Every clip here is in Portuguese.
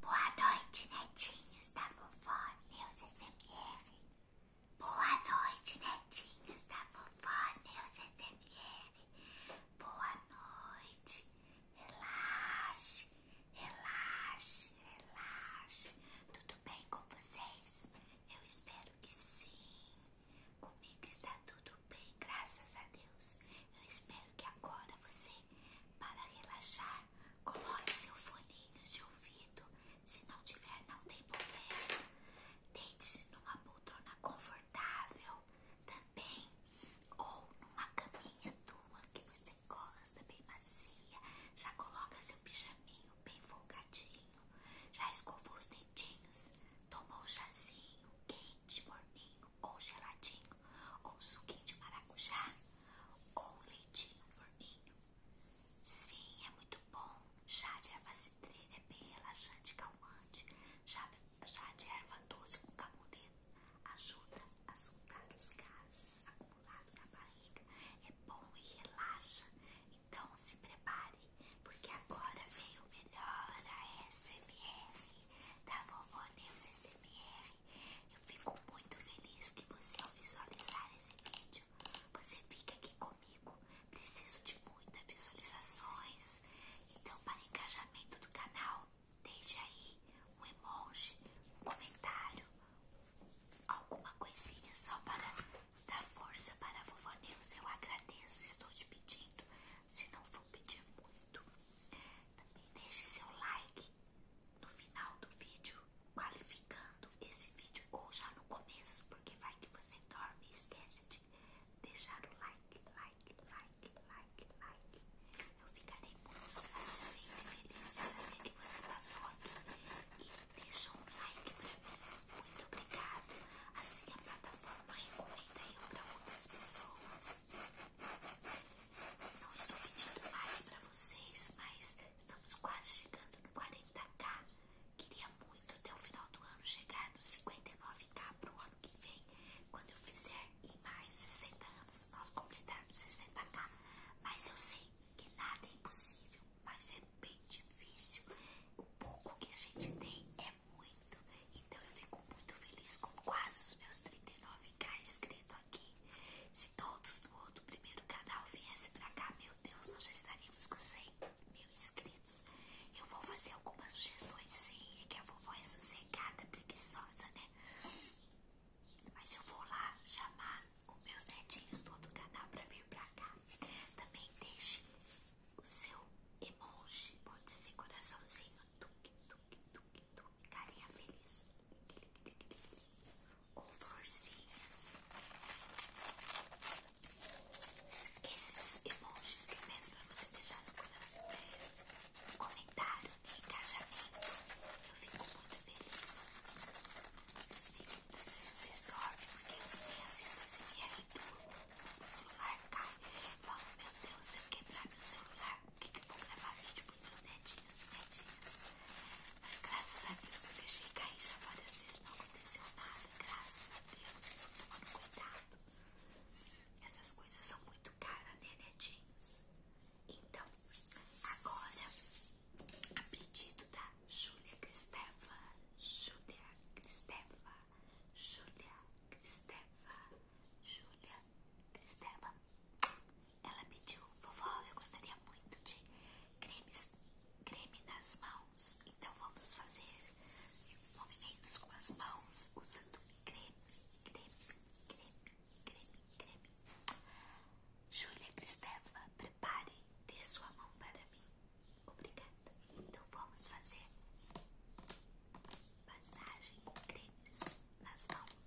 Boa noite, netinhos da vovó Neus SMR. Boa noite, netinhos da vovó Neus SMR. Boa noite. Relaxe, relaxe, relaxe. Tudo bem com vocês? Eu espero que sim. Comigo está tudo bem, graças a Deus. Eu espero que agora você, para relaxar, coloque seu foninho de ouvido. Se não tiver, não tem problema. Deite-se numa poltrona confortável também, ou numa caminha tua que você gosta, bem macia. Já coloca seu pijaminho bem folgadinho, já escovou os dentinhos, tomou um chazinho quente, morninho ou geladinho, ou suquinho de maracujá, ou leitinho morninho. Sim, é muito bom. Chá de erva cidreira é bem relaxante e calmante. Chá, de erva doce com camomila ajuda a soltar os gases acumulados na barriga. É bom e relaxa. Então se prepare, porque agora veio o melhor a SMR da Vovó Neus SMR. Eu fico muito feliz que você, ao visualizar esse vídeo, você fica aqui comigo. Preciso de muitas visualizações. Então, para engajamento do canal, deixe aí um emoji, um comentário, alguma coisinha só para dar força para a Vovó News. Eu agradeço, estou te pedindo. Se não for pedir muito, também deixe seu like no final do vídeo, qualificando esse vídeo ou já no começo, porque vai que você dorme esquece de deixar o like, like, like, like, like. Eu ficarei muito satisfeita e feliz de saber que você passou aqui e deixa um like pra mim. Muito obrigado. Assim a plataforma recomenda eu para outras pessoas. Não estou pedindo mais para vocês, mas estamos quase chegando no 40k. Queria muito até o final do ano chegar no 59k para o ano que vem, quando eu fizer em mais 60 anos nós completarmos 60k. Mas eu sei que nada é impossível, mas é bem difícil. O pouco que a gente tem é muito. Então eu fico muito feliz com quase os meus 39k inscritos se todos do outro primeiro canal viessem pra cá, meu Deus, nós já estaríamos com 100 mil inscritos. Eu vou fazer algumas sugestões, sim, é que a vovó é sossegada, preguiçosa, né? Mas eu vou lá chamar os meus netinhos do outro canal pra vir pra cá. Também deixe o seu emoji, pode ser coraçãozinho, tuque, tuque, tuque, lindo, carinha feliz ou florzinhas. Esses emojis que é mesmo pra você deixar no um comentário e engajamento. Eu fico muito feliz. Eu vocês dormem, porque eu nem assisto a e aí durmo. O celular cai. Falo, meu Deus, se eu quebrar meu celular, o que, eu vou gravar vídeo pros meus netinhos e netinhas. Mas graças a Deus eu deixei cair já várias vezes, não aconteceu nada. Graças a Deus, eu tô tomando cuidado. Essas coisas são muito caras, né, netinhos? Então, agora, a pedido da Júlia Cristeva, Júlia Cristeva, Júlia Cristeva, Júlia Cristeva, ela pediu, vovó, eu gostaria muito de cremes, creme nas mãos. Então vamos fazer movimentos com as mãos usando creme, creme, creme, creme, creme. Júlia Cristeva, prepare, dê sua mão para mim. Obrigada. Então vamos fazer massagem com cremes nas mãos.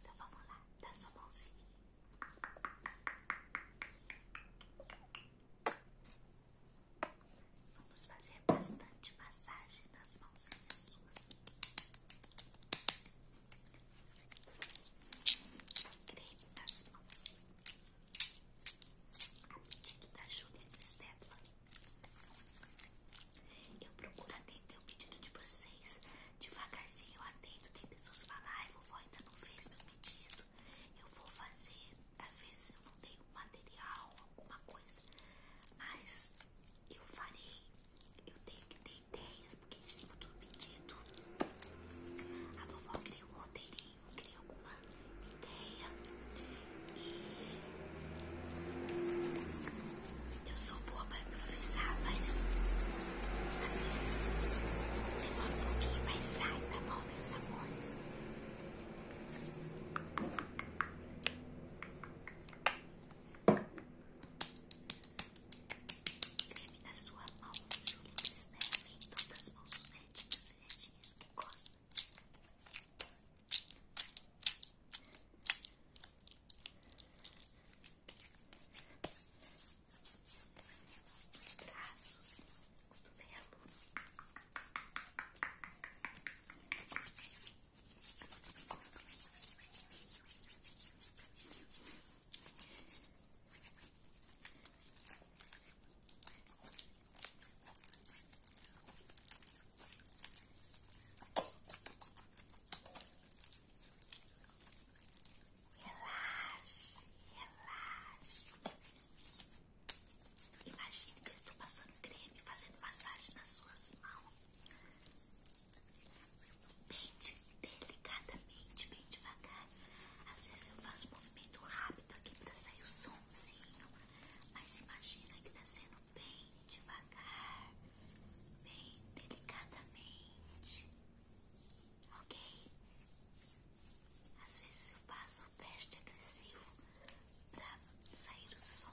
Então vamos lá, dá sua mãozinha. Vamos fazer bastante massagem nas mãozinhas suas. Creme nas mãos. A pedido da Julia e Stephanie. Eu procuro atender o pedido de você Devagarzinho eu atendo, tem pessoas falando, falam, ai vovó ainda não fez meu pedido, eu vou fazer. Às vezes eu não tenho material, alguma coisa, mas eu farei. Eu tenho que ter ideias, porque em cima do pedido a vovó cria um roteirinho, cria alguma ideia e eu sou boa para improvisar, mas às vezes demora um pouquinho, mas sai, tá bom, meus amores? Creme na sua mão, Júlio Cisnero, em todas as mãos netinhas e netinhas que gostam braços, cotovelo. Vou Relaxe, relaxe. Imagine que eu estou passando creme, fazendo massagem nas suas mãos. Bem delicadamente, bem devagar. Às vezes eu faço um movimento rápido aqui para sair o sonzinho, mas imagina que está sendo bem devagar, bem delicadamente ok? Às vezes eu faço o teste agressivo para sair o som.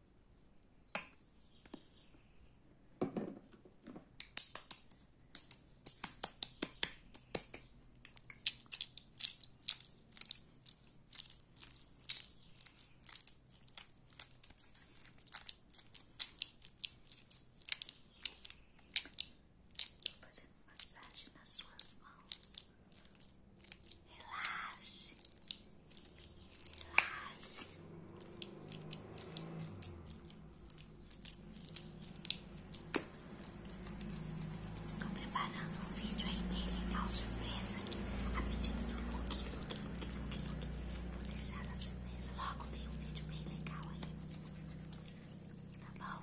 Estou fazendo massagem nas suas mãos. Relaxe. Relaxe. Estou preparando um vídeo aí bem legal, surpresa. A pedido do look, look, look, look, look. Vou deixar na surpresa. Logo vem um vídeo bem legal aí. Tá bom?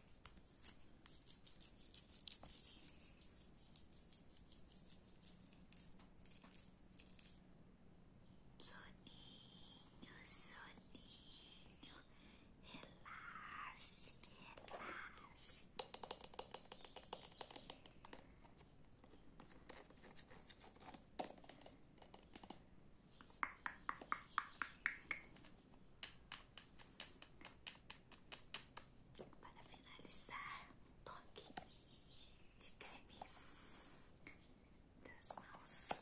Soninho, soninho, relaxe, relaxe. relaxe, relaxe para finalizar, toque de creme das mãos.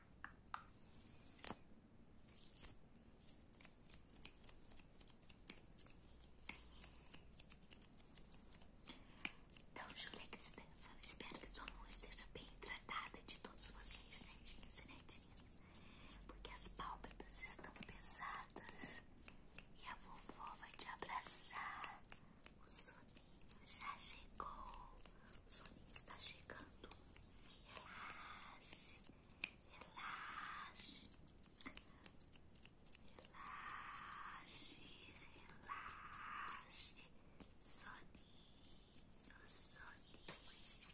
Então, Júlia Cristânia, espero que sua mão esteja bem tratada de todos vocês, netinhos e netinhas, porque as pálpebras estão pesadas e a vovó vai te abraçar. O soninho já chegou. O está chegando. Relaxe, relaxe, relaxe, relaxe. Soninho, soninho.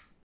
Tchau.